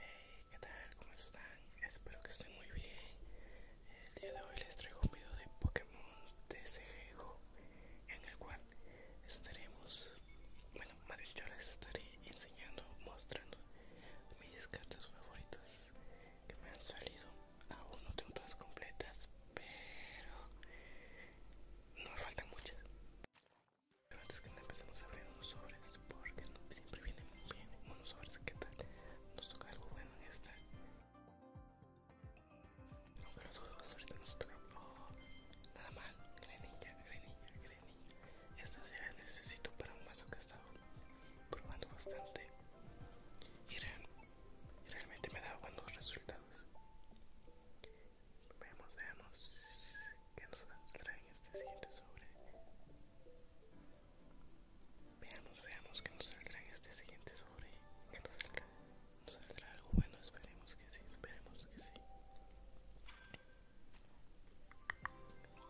Hey, ¿qué tal? ¿Cómo están? Espero que estén muy bien. El día de hoy les traigo un video de Pokémon TCG juego en el cual estaremos, bueno, más yo les estaré enseñando, mostrando mis cartas favoritas que me han salido. Aún no tengo todas completas, pero no me faltan muchas. Pero antes que nada empecemos a abrir unos sobres porque siempre vienen muy bien unos sobres. ¿Qué tal? Nos toca algo bueno en esta. Aunque los dos ahorita nos tocan. nada mal. Grenilla, grenilla, grenilla. Esta sí la necesito para un mazo que estaba probando bastante. y realmente me da buenos resultados. Veamos, veamos que nos en este siguiente sobre. Veamos, veamos que nos en este siguiente sobre. Que nos saldrá, nos saldrá algo bueno, esperemos que sí, esperemos que sí.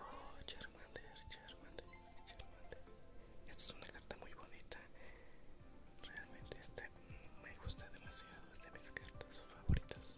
Oh, Charmander, Charmander, Charmander. Esta es una carta muy bonita. Realmente esta mm, me gusta demasiado. Es de mis cartas favoritas.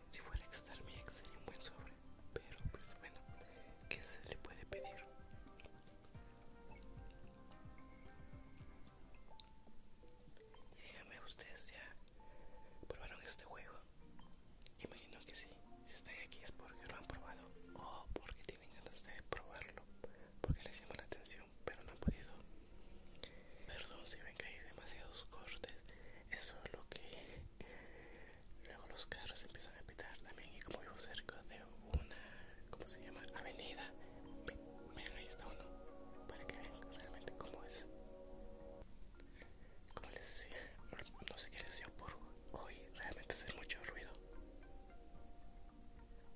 Si fuera a mi ex sería un buen sobre, pero pues bueno, ¿qué se le puede pedir? Y díganme, ¿ustedes ya probaron este juego? Imagino que sí, si están aquí es porque lo han probado o porque tienen ganas de probarlo, porque les llama la atención, pero no han podido. Perdón si ven que hay demasiados cortes, eso es lo que Luego los carros empiezan a pitar también y como vivo cerca de una, Avenida. miren ahí está uno, para que vean realmente cómo es. Como les decía, no sé qué les por hoy, realmente hace mucho ruido.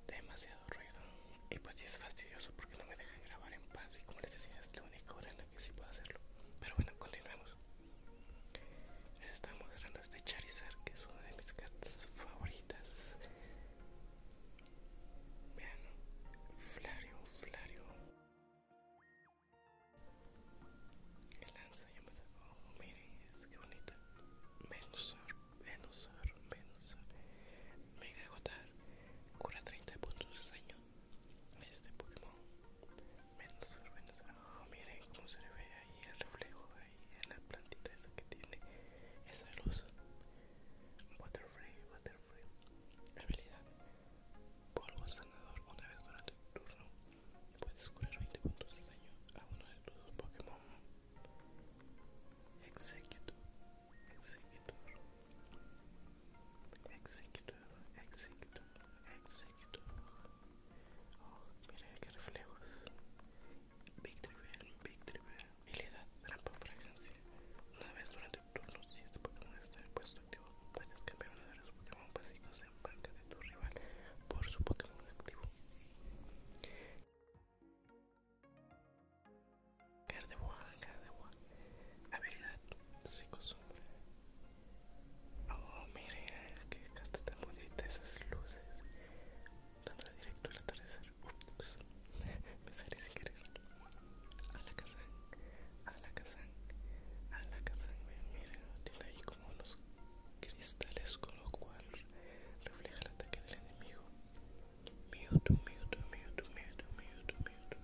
Demasiado ruido. Y pues es fastidioso porque no me dejan grabar en paz y como les decía, es la única hora en la que sí puedo hacerlo. Pero bueno, continuemos estamos. Estamos mostrando este Charizard, que es una de mis cartas favoritas. Vean, Flario, Flario. El lanza llamada. Oh, miren, es que bonita. Venusaur, Venusaur, Venusaur. Mega Agotar. Cura 30 puntos de daño este Pokémon menos menos ah, miren cómo se le ve ahí el reflejo ahí en la plantita que tiene esa luz waterfree Butterfree habilidad polvo sanador una vez durante tu turno puedes curar 20 puntos de daño a uno de tus Pokémon Executor Executor Executor, executor, executor. Oh, mira qué reflejos. Victory victory Victory Habilidad, trampa fragancia. Una vez durante un turno, si este Pokémon está en puesto activo, puedes cambiar uno de los Pokémon básicos en banca de tu rival por su Pokémon activo. Gardevoir, Gardevoir. Habilidad, PSICOSOMBRE Oh, mire, qué carta tan bonita, esas luces. Tan directo al atardecer. me salí sin querer. A la casa, a la casa, a la casa. Mire, tiene ahí como unos cristales con lo cual refleja el ataque del enemigo. Mewtwo, Mewtwo, Mewtwo, Mewtwo, Mewtwo, Mewtwo.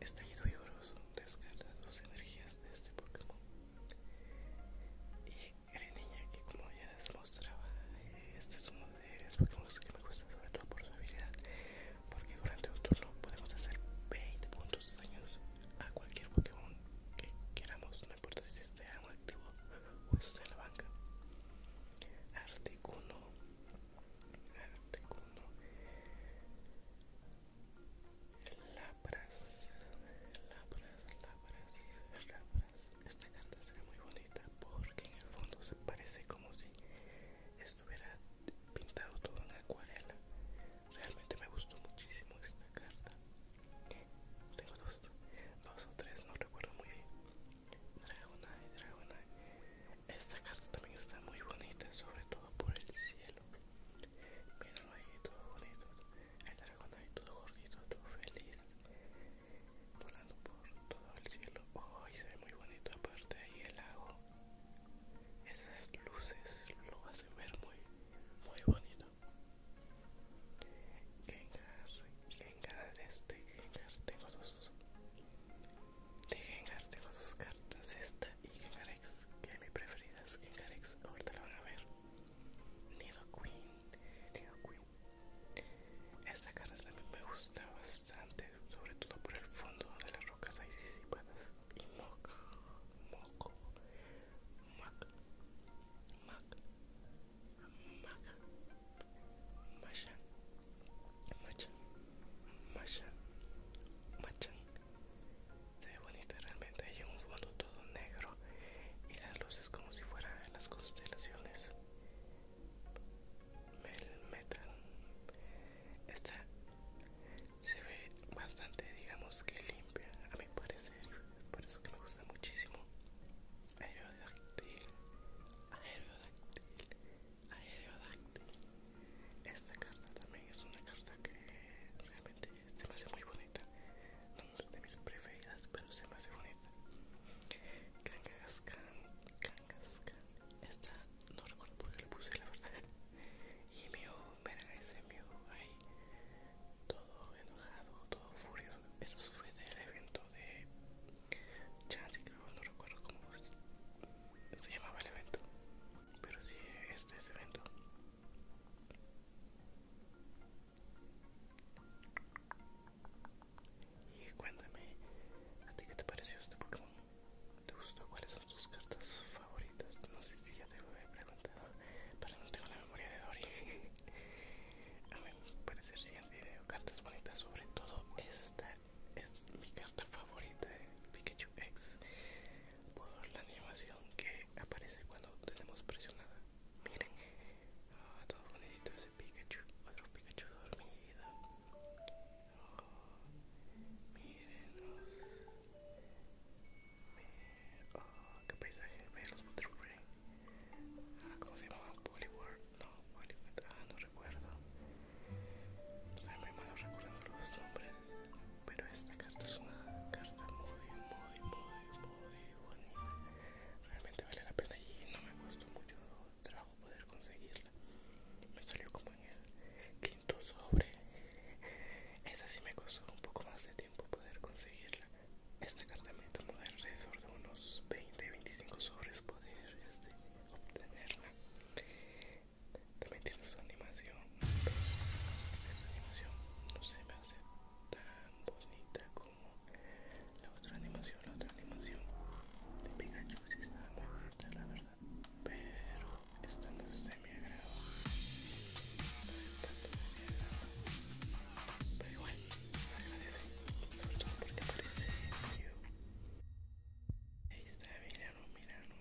Estallido vigoroso, Descarta dos energías de este Pokémon. Y creen niña que como ya les mostraba, este es uno de los Pokémon que me gusta sobre todo por su habilidad, porque durante un turno podemos hacer 20 puntos de daño a cualquier Pokémon que queramos, no importa si esté en activo o esté en la banca. Articuno, Articuno Lapras, lapras, lapras, lapras. Esta carta se ve muy bonita porque en el fondo se parece como si estuviera pintado todo en acuarela. Realmente me gustó muchísimo esta carta. Tengo dos, dos o tres, no recuerdo muy bien. Dragonite, Dragonite. Esta carta también está muy bonita, sobre todo por el cielo. Míralo ahí, todo bonito. El dragón ahí, todo gordito, todo feliz. Volando por todo el cielo. Oh, se ve muy bonito aparte ahí el lago. Esas luces lo hacen ver muy, muy bonito. Gengar, Gengar, este Gengar, tengo dos de Gengar, tengo sus cartas, esta y Gengarex, que es mi preferida es Gengarex, ahorita la van a ver. Queen, Nidoqueen, Queen. Esta carta también me gusta bastante, sobre todo por el fondo de las rocas hay disipadas. Y Mock, Moco, Mac, Mac, Mac, Masha, Macha, Machan, Machan. Se ve bonita realmente. Hay un fondo todo negro y las luces como si fueran las constelaciones. metal. Esta se ve bastante, digamos que limpia, a mi parecer. Por eso que me gusta muchísimo. Aerodáctil, aerodáctil, aerodáctil. Esta carta también es una carta que realmente se me hace muy bonita. No es de mis preferidas, pero se me hace bonita. Kangaskhan, Kangaskhan. Esta no recuerdo por qué le puse, la verdad. Y mío, verán ese mío ahí, todo enojado, todo furioso. Eso fue del evento de Chance, creo, no recuerdo cómo se llamaba el evento pero sí este es evento y cuéntame a ti qué te pareció este Pokémon te gustó cuáles son tus cartas favoritas no sé si ya te lo he preguntado pero no tengo la memoria de Dory a mí me parece el siguiente video cartas bonitas sobre todo esta es mi carta favorita de Pikachu X por la animación que aparece cuando tenemos presionada. Miren, ah, todo bonito ese Pikachu, otro Pikachu dormido. Oh, miren, Oh, qué paisaje, vean los Butterfly. Ah, ¿cómo se llamaba, Poliword. No, Poliword, ah, no recuerdo. estoy muy malo recordando los nombres pero esta carta es una carta muy, muy, muy, muy bonita. Realmente vale la pena y no me costó mucho trabajo poder conseguirla. Me salió como en el quinto sobre. Esta sí me costó un poco más de tiempo poder conseguirla. Esta carta me tomó alrededor de unos 20-25 sobres poder este, obtenerla también tiene su animación. Esta animación no se me hace tan bonita como la otra animación. La otra animación de Pikachu si estaba muy fuerte la verdad. Pero esta no se me agrado. no me Pero igual, se agradece. Sobre porque aparece yo. está,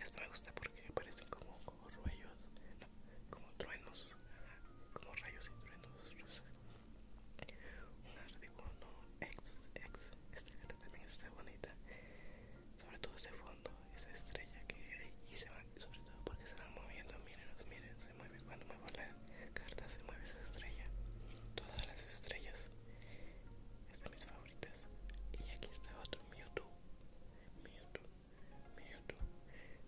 Esto me gusta porque parecen como, ruellos, como truenos, como rayos y truenos Un artículo ex, ex, esta carta también está bonita, sobre todo ese fondo, esa estrella que y se van, sobre todo porque se van moviendo, miren, miren, se mueve cuando muevo la carta, se mueve esa estrella, todas las estrellas, estas mis favoritas, y aquí está otro Mewtwo, Mewtwo, Mewtwo,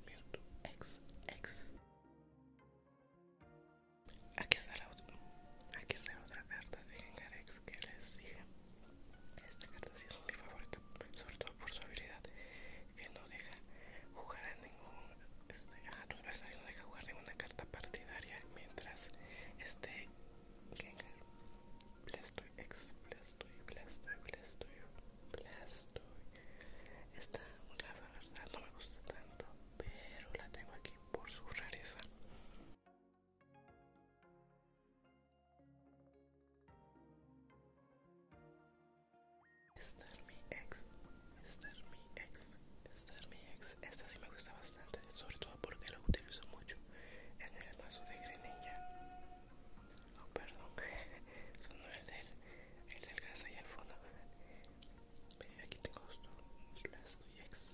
Mewtwo, X, X. Aquí está la otra, carta de Gengar X que les dije. Esta carta sí es mi favorita, sobre todo por su habilidad, que no deja jugar a ningún, este, a tu adversario no deja jugar ninguna carta partidaria mientras este Gengar Blastoise, Blastoise, Blastoise, Blastoise, Blastoise. Esta, la verdad, no me gusta tanto, pero la tengo aquí por su rareza. estar mi ex, Star mi ex, estar mi ex. Esta sí me gusta bastante sobre todo porque lo utilizo mucho en el mazo de grenilla. Oh, perdón, son el del, el del gas ahí al fondo. Aquí tengo Blastoy Blastoyex,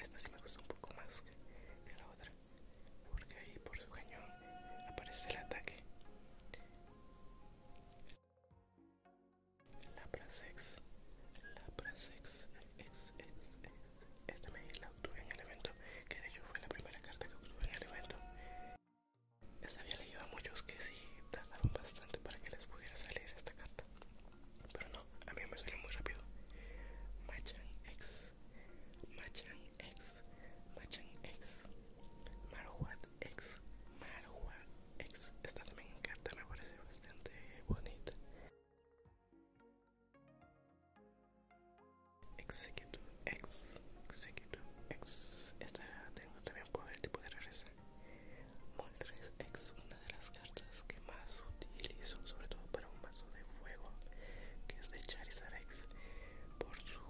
esta sí me gusta un poco más que la otra, porque ahí por su cañón aparece el ataque. Laprasex, Laprasex, ex, esta me la obtuve en el evento, que de hecho fue la primera carta que obtuve en el evento. Esta había leído a muchos que sí tardaron bastante para que les pudiera salir esta carta. Pero no, a mí me salió muy rápido. Machan X, Machan X, Machan X, Maruat X, Maruat X. Esta también carta me parece bastante bonita. Executive X, Executive X. Esta tengo también poder el tipo de regresar. Moltres X, una de las cartas que más utilizo, sobre todo para un mazo de fuego, que es de Charizard X, por su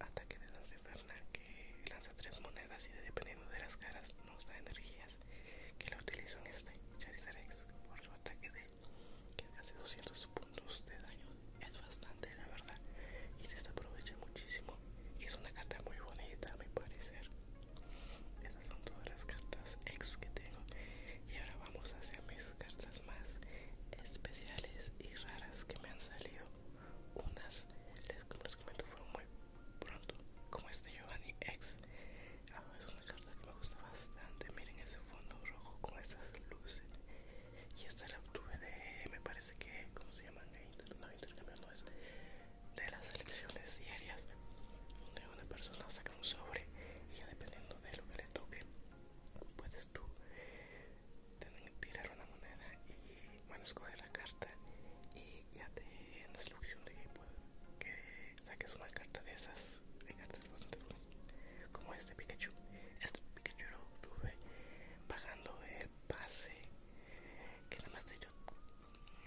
ataque de danza infernal que lanza tres monedas y dependiendo de las caras nos da energías que la utilizo en este Charizard X por su ataque de que hace 200 puntos de daño es bastante la verdad y se aprovecha muchísimo es una carta muy bonita a mi parecer esas son todas las cartas ex que tengo y ahora vamos a hacer mis cartas más especiales y raras que me han salido unas les, como les comento fueron muy pronto como este Giovanni ex Ah, es una carta que me gusta bastante. Miren ese fondo rojo con esas luces. Y esta la obtuve de, me parece que, ¿cómo se llaman? Inter, no, intercambio no es. De las elecciones diarias. Donde una persona saca un sobre y ya dependiendo de lo que le toque, puedes tú tirar una moneda y, bueno, escoger la carta y ya te en la instrucción de que, que saques una carta de esas hay cartas Como este Pikachu. Este Pikachu lo tuve bajando el pase. Que nada más de yo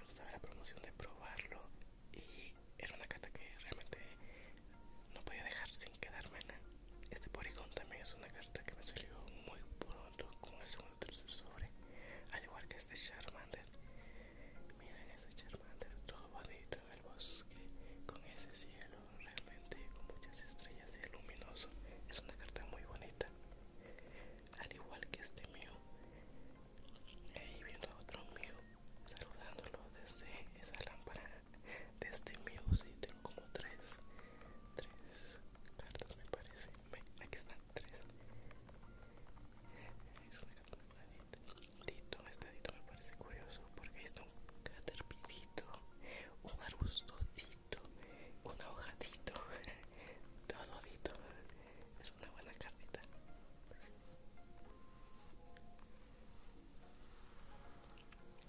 estaba la promoción de probarlo. Y era una carta que realmente no podía dejar sin quedarme Este Porygon también es una carta que me salió muy pronto, con el segundo tercer sobre. Al igual que este Charmander. Miren este Charmander, todo bonito el bosque con ese cielo realmente con muchas estrellas y luminoso. Es una carta muy bonita. Al igual que este mío. Ahí viendo otro mío saludándolo desde esa lámpara. De este mío sí tengo como tres. Tres cartas me parece. Aquí están tres. Es una carta muy bonita. Dito, este dito me parece curioso porque está un caterpillito, un arbustodito, una hojadito, todo dito. Es una buena carnita.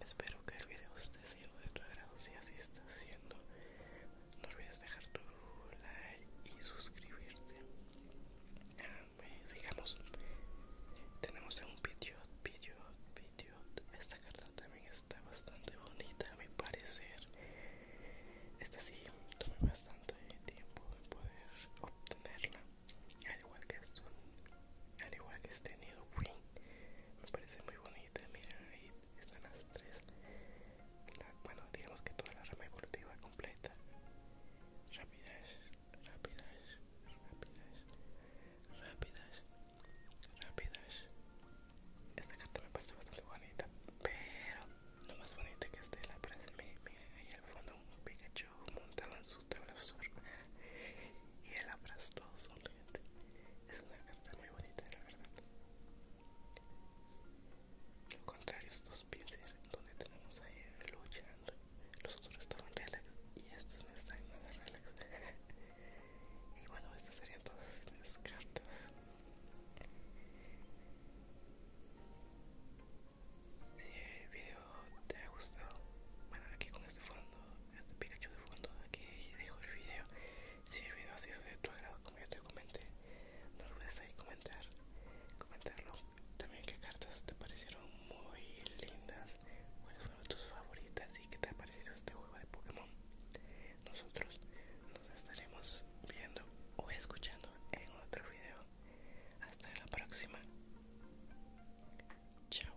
Espero que el video esté siendo de tu agrado. Si así está siendo, no olvides dejar tu like y suscribirte. Pues, tenemos un Pidgeot, video video esta carta también está bastante bonita a mi parecer esta sí tomé bastante tiempo de poder obtenerla al igual que al igual que este Nido me parece muy bonita miren ahí están las tres bueno digamos que toda la rama completa Rapidash, rápidas, rápidas, rápidas, rápidas. Esta carta me parece bastante bonita, pero no más bonita que es de la ahí al fondo un Pikachu montado en su absurda y el abrazo todo sonriente. Es una carta muy bonita, la verdad. Lo contrario, estos pinceles donde tenemos ahí luchando los otros estaban relax y estos no están en relax y bueno estas serían todas mis cartas si el video te ha gustado bueno aquí con este fondo este pikachu de fondo aquí dejo el video si el video ha sido de tu agrado como ya te comenté no olvides ahí comentar comentarlo también qué cartas te parecieron muy lindas, cuáles fueron tus favoritas y qué te ha parecido este juego de Pokémon. Nosotros nos estaremos viendo o escuchando en otro video. Hasta la próxima. Chao.